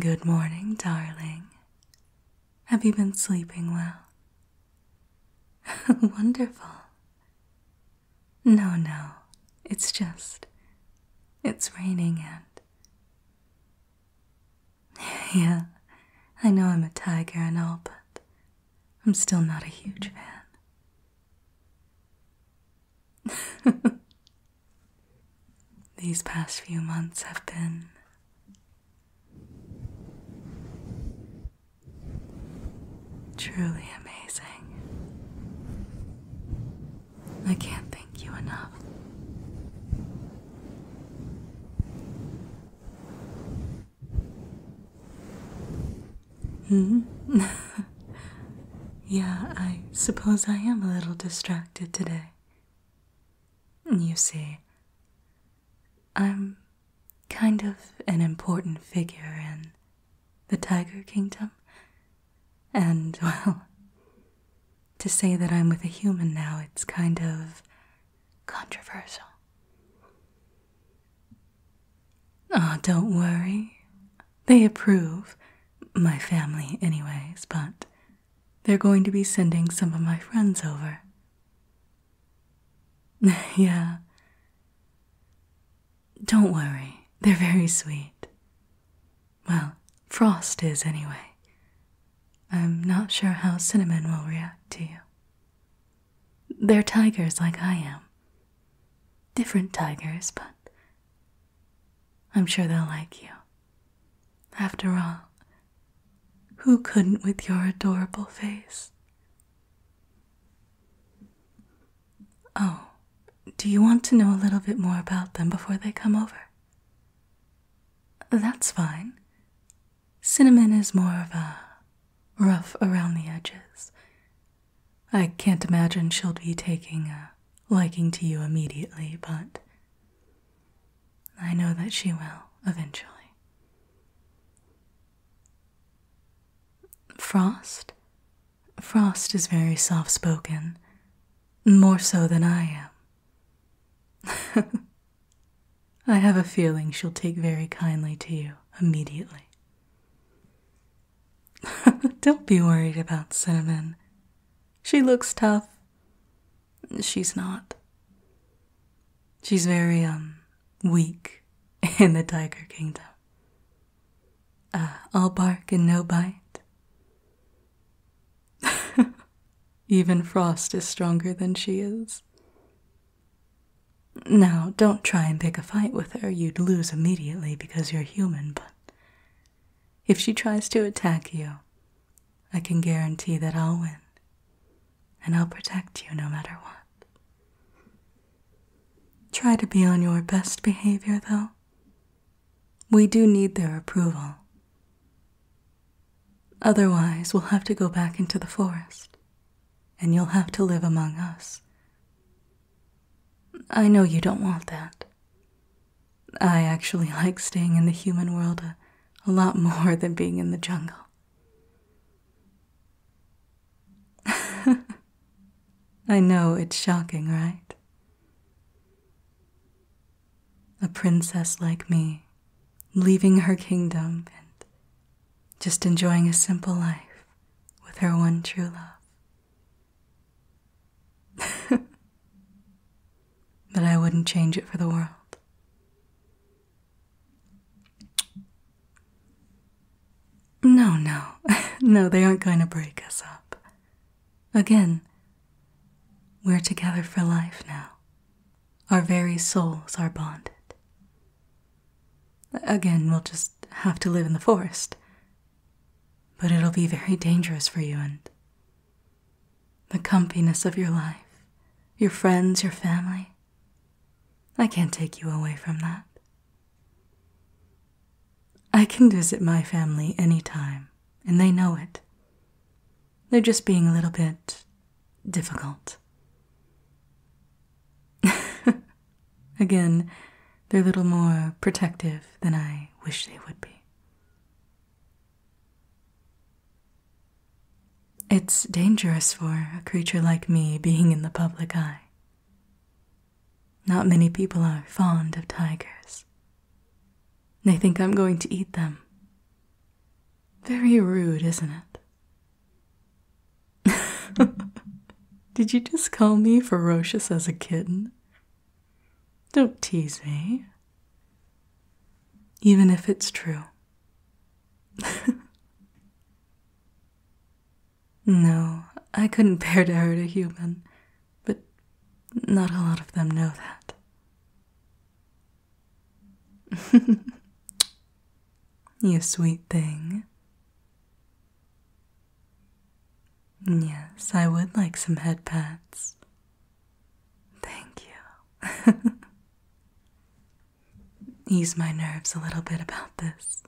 Good morning, darling. Have you been sleeping well? Wonderful. No, no, it's just. It's raining and. yeah, I know I'm a tiger and all, but I'm still not a huge fan. These past few months have been truly amazing. I can't thank you enough. Hmm? yeah, I suppose I am a little distracted today. You see, I'm kind of an important figure in the Tiger Kingdom. And, well, to say that I'm with a human now, it's kind of controversial. Ah, don't worry. They approve. My family, anyways, but they're going to be sending some of my friends over. yeah. Don't worry, they're very sweet. Well, Frost is anyway. I'm not sure how Cinnamon will react to you. They're tigers like I am. Different tigers, but I'm sure they'll like you. After all, who couldn't with your adorable face? Oh, do you want to know a little bit more about them before they come over? That's fine. Cinnamon is more of a rough around the edges. I can't imagine she'll be taking a liking to you immediately, but I know that she will eventually. Frost? Frost is very soft spoken, more so than I am. I have a feeling she'll take very kindly to you immediately. Don't be worried about Cinnamon. She looks tough. She's not. She's very, um, weak in the Tiger Kingdom. Ah, I'll bark and no bite. Even Frost is stronger than she is. Now, don't try and pick a fight with her. You'd lose immediately because you're human, but if she tries to attack you, I can guarantee that I'll win. And I'll protect you no matter what. Try to be on your best behavior, though. We do need their approval. Otherwise, we'll have to go back into the forest and you'll have to live among us. I know you don't want that. I actually like staying in the human world a, a lot more than being in the jungle. I know it's shocking, right? A princess like me, leaving her kingdom and just enjoying a simple life with her one true love. but I wouldn't change it for the world. No, no, no, they aren't going to break us up. Again, we're together for life now. Our very souls are bonded. Again, we'll just have to live in the forest. But it'll be very dangerous for you and the comfiness of your life, your friends, your family. I can't take you away from that. I can visit my family any time, and they know it. They're just being a little bit difficult. Again, they're little more protective than I wish they would be. It's dangerous for a creature like me being in the public eye. Not many people are fond of tigers. They think I'm going to eat them. Very rude, isn't it? Did you just call me ferocious as a kitten? Don't tease me. Even if it's true. no, I couldn't bear to hurt a human, but not a lot of them know that. you sweet thing. Yes, I would like some head Thank you. Ease my nerves a little bit about this.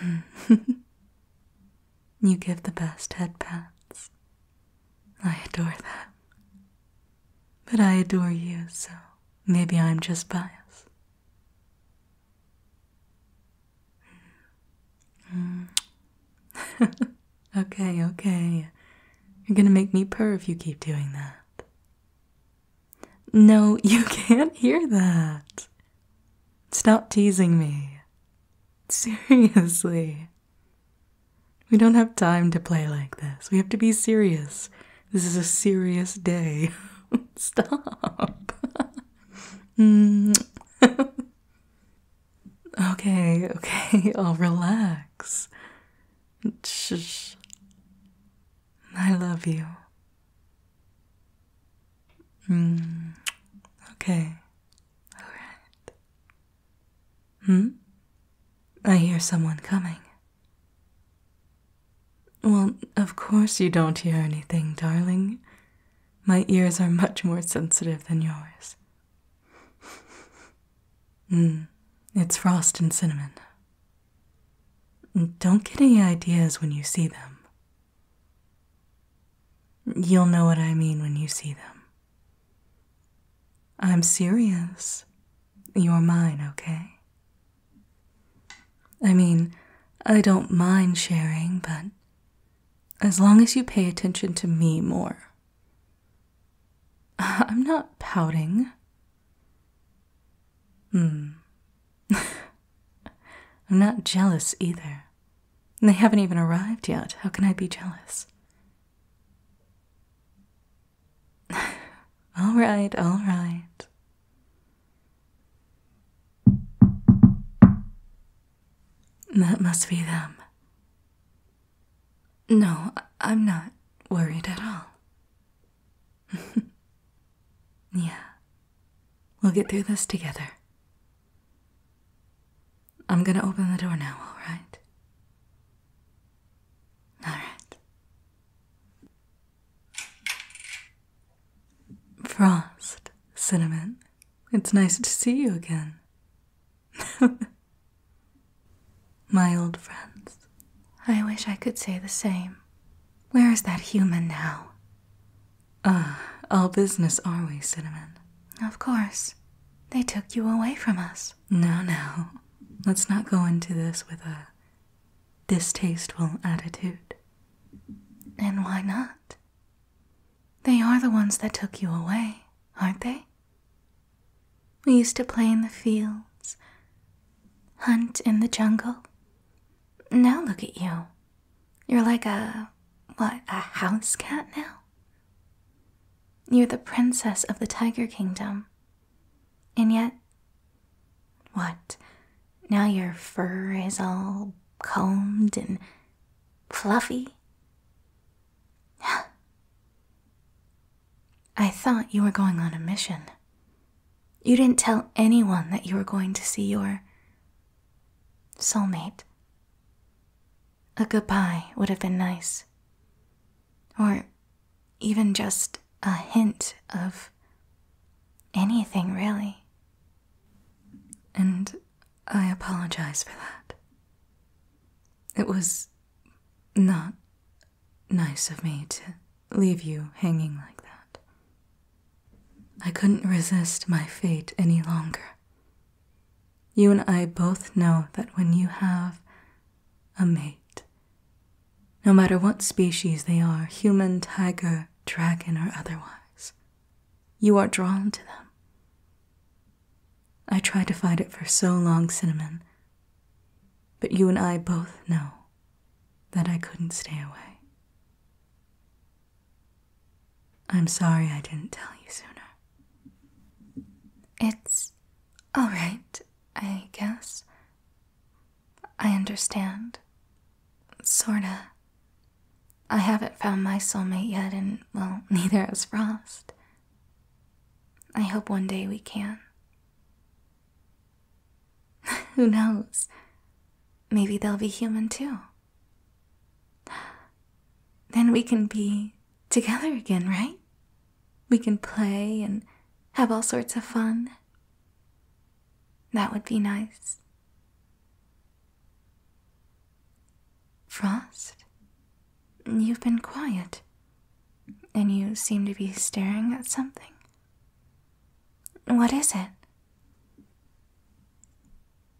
you give the best head I adore them. But I adore you, so maybe I'm just biased. Mm. okay, okay. You're gonna make me purr if you keep doing that. No, you can't hear that. Stop teasing me. Seriously. We don't have time to play like this. We have to be serious. This is a serious day. Stop. Mm. okay, okay, I'll relax. Shh. I love you. Mm. Okay, alright. Hmm? I hear someone coming. Well, of course you don't hear anything, darling. My ears are much more sensitive than yours. Mm, it's frost and cinnamon. Don't get any ideas when you see them. You'll know what I mean when you see them. I'm serious. You're mine, okay? I mean, I don't mind sharing, but as long as you pay attention to me more. I'm not pouting. Hmm. I'm not jealous either. They haven't even arrived yet. How can I be jealous? all right, all right. That must be them. No, I'm not worried at all. yeah. We'll get through this together. I'm gonna open the door now, alright? Alright. Frost, Cinnamon, it's nice to see you again. My old friends. I wish I could say the same. Where is that human now? Ah, all business are we, Cinnamon? Of course. They took you away from us. No, no. Let's not go into this with a distasteful attitude. And why not? They are the ones that took you away, aren't they? We used to play in the fields, hunt in the jungle. Now look at you. You're like a, what, a house cat now? You're the princess of the Tiger Kingdom, and yet, what? Now your fur is all combed and fluffy? I thought you were going on a mission. You didn't tell anyone that you were going to see your soulmate. A goodbye would have been nice. Or even just a hint of anything really. And I apologize for that. It was not nice of me to leave you hanging like that. I couldn't resist my fate any longer. You and I both know that when you have a mate, no matter what species they are human, tiger, dragon, or otherwise. You are drawn to them. I tried to fight it for so long, Cinnamon, but you and I both know that I couldn't stay away. I'm sorry I didn't tell you sooner. It's all right, I guess. I understand. Sorta. I haven't found my soulmate yet, and well, neither has Frost. I hope one day we can. Who knows? Maybe they'll be human too. Then we can be together again, right? We can play and have all sorts of fun. That would be nice. Frost, you've been quiet, and you seem to be staring at something. What is it?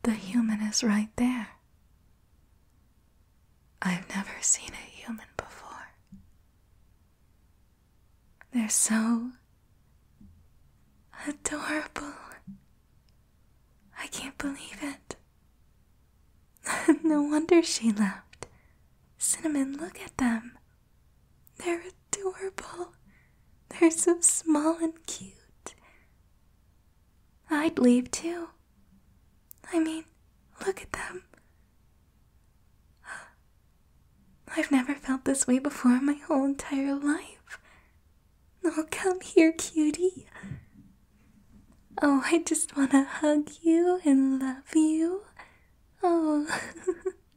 The human is right there. I've never seen a human before. They're so adorable. I can't believe it. no wonder she left. Cinnamon, look at them. They're adorable. They're so small and cute. I'd leave too. I mean, look at them. I've never felt this way before in my whole entire life. Oh, come here, cutie. Oh, I just want to hug you and love you. Oh.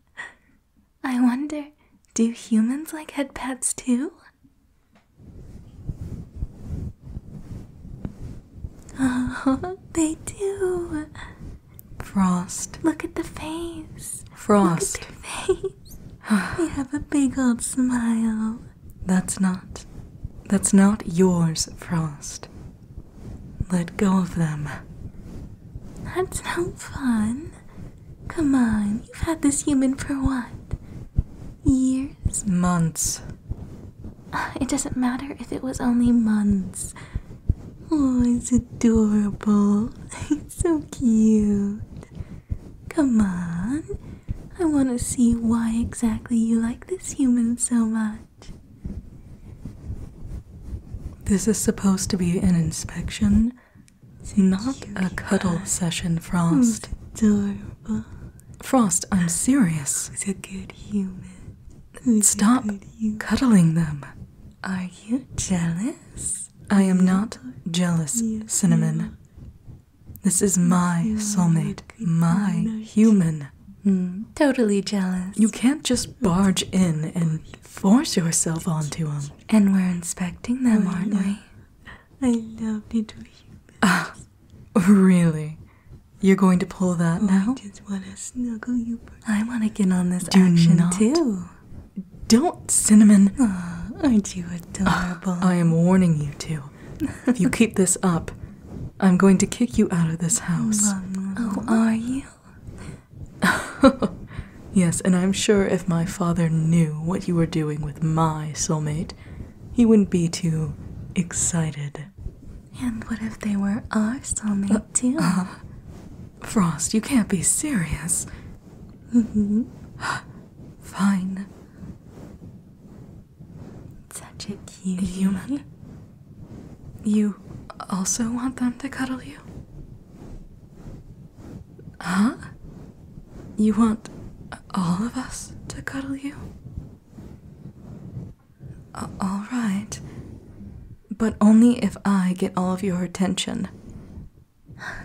I wonder, do humans like head too? Oh, they do. Frost. Look at the face. Frost. Look at face. I have a big old smile. That's not. That's not yours, Frost. Let go of them. That's no fun. Come on, you've had this human for what? Years? Months. Uh, it doesn't matter if it was only months. Oh, it's adorable. so cute. Come on. I want to see why exactly you like this human so much. This is supposed to be an inspection, not a cuddle session, Frost. Adorable. Frost, I'm serious. He's a good human? Who's Stop cuddling them. Are you jealous? I am not jealous, Cinnamon. This is my soulmate, my human. Hmm, totally jealous. You can't just barge in and force yourself onto him. And we're inspecting them, aren't we? I love little humans. Ah, really? You're going to pull that oh, now? I just want to snuggle you. I want to get on this action too. Don't, Cinnamon. Ah, aren't you adorable? Ah, I am warning you two. If you keep this up, I'm going to kick you out of this house. Oh, are you? yes, and I'm sure if my father knew what you were doing with my soulmate, he wouldn't be too excited. And what if they were our soulmate, uh, too? Uh-huh. Frost, you can't be serious. Fine. Such a cute human. You also want them to cuddle you? Huh? You want all of us to cuddle you? All right. But only if I get all of your attention.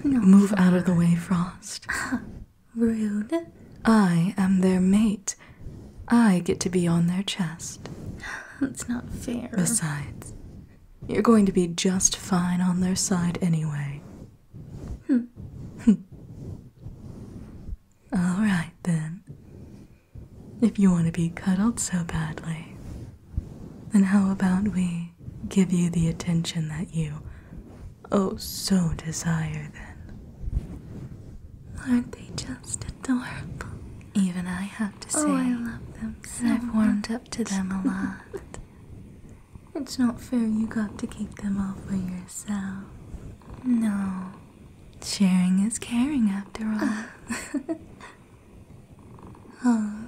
Move out of the way, Frost. Rude. I am their mate. I get to be on their chest. That's not fair. Besides, you're going to be just fine on their side anyway. Hmm. All right, then. If you want to be cuddled so badly, then how about we give you the attention that you oh so desire then? Aren't they just adorable? Even I have to say oh, I love them so I've warmed up to them a lot. it's not fair you got to keep them all for yourself. No. Sharing is caring after all. Oh,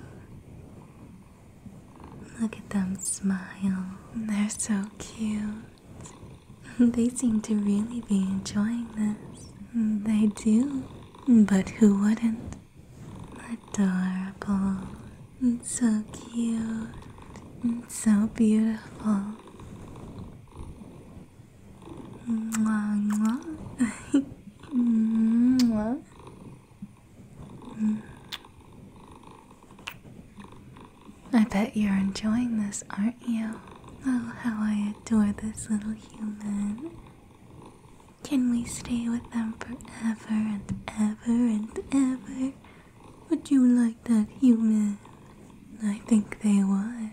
look at them smile. They're so cute. They seem to really be enjoying this. They do. But who wouldn't? Adorable. So cute. So beautiful. Mwah, mwah. mwah. I bet you're enjoying this, aren't you? Oh, how I adore this little human. Can we stay with them forever and ever and ever? Would you like that human? I think they would.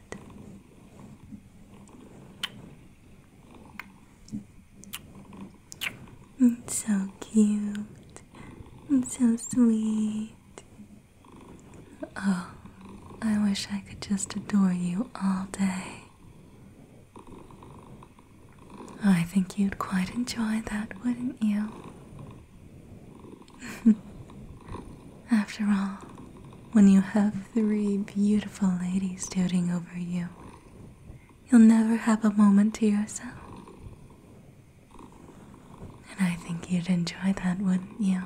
It's so cute. It's so sweet. Oh, I wish I could just adore you all day. Oh, I think you'd quite enjoy that, wouldn't you? After all, when you have three beautiful ladies doting over you, You'll never have a moment to yourself. And I think you'd enjoy that, wouldn't you?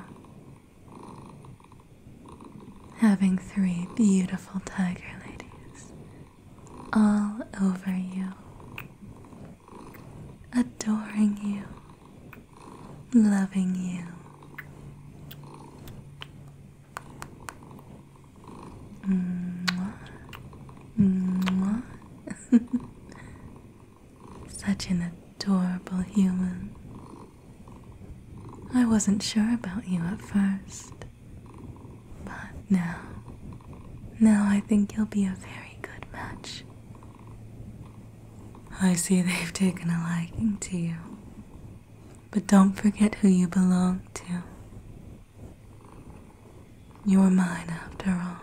Having three beautiful tiger ladies all over you, adoring you, loving you. Mwah. Mwah. Such an adorable human. I wasn't sure about you at first, but now, now I think you'll be a very good match. I see they've taken a liking to you, but don't forget who you belong to. You are mine after all.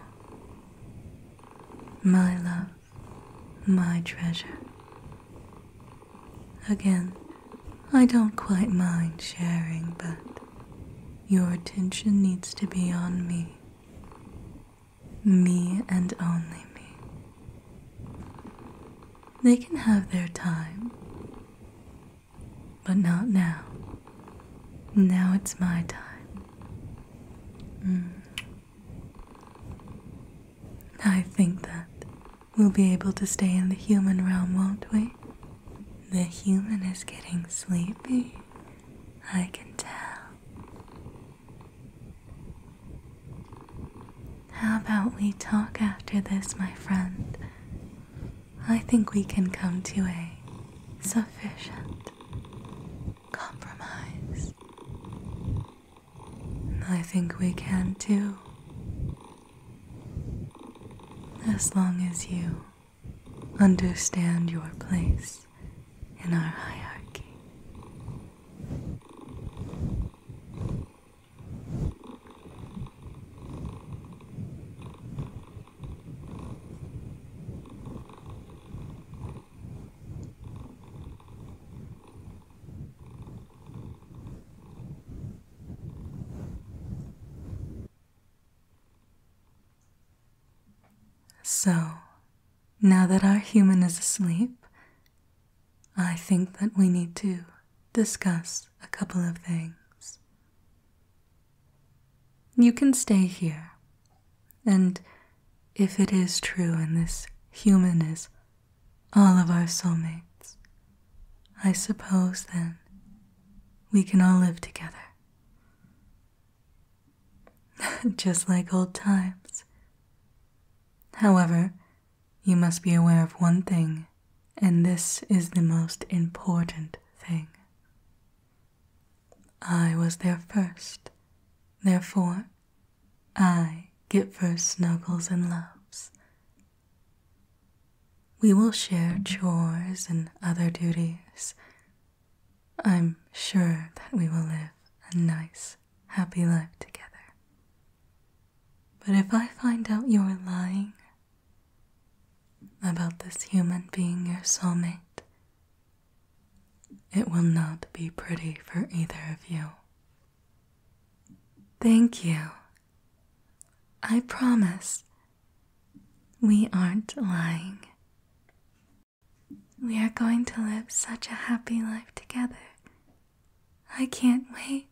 My love, my treasure. Again, I don't quite mind sharing, but your attention needs to be on me. Me and only me. They can have their time, but not now. Now it's my time. Mm. I think that we'll be able to stay in the human realm, won't we? The human is getting sleepy. I can tell. How about we talk after this, my friend? I think we can come to a sufficient compromise. I think we can too. As long as you understand your place in our hierarchy. So, now that our human is asleep, I think that we need to discuss a couple of things. You can stay here, and if it is true and this human is all of our soulmates, I suppose then we can all live together. Just like old times. However, you must be aware of one thing and this is the most important thing. I was there first, therefore, I get first snuggles and loves. We will share chores and other duties. I'm sure that we will live a nice, happy life together. But if I find out you're lying, about this human being your soulmate. It will not be pretty for either of you. Thank you. I promise we aren't lying. We are going to live such a happy life together. I can't wait.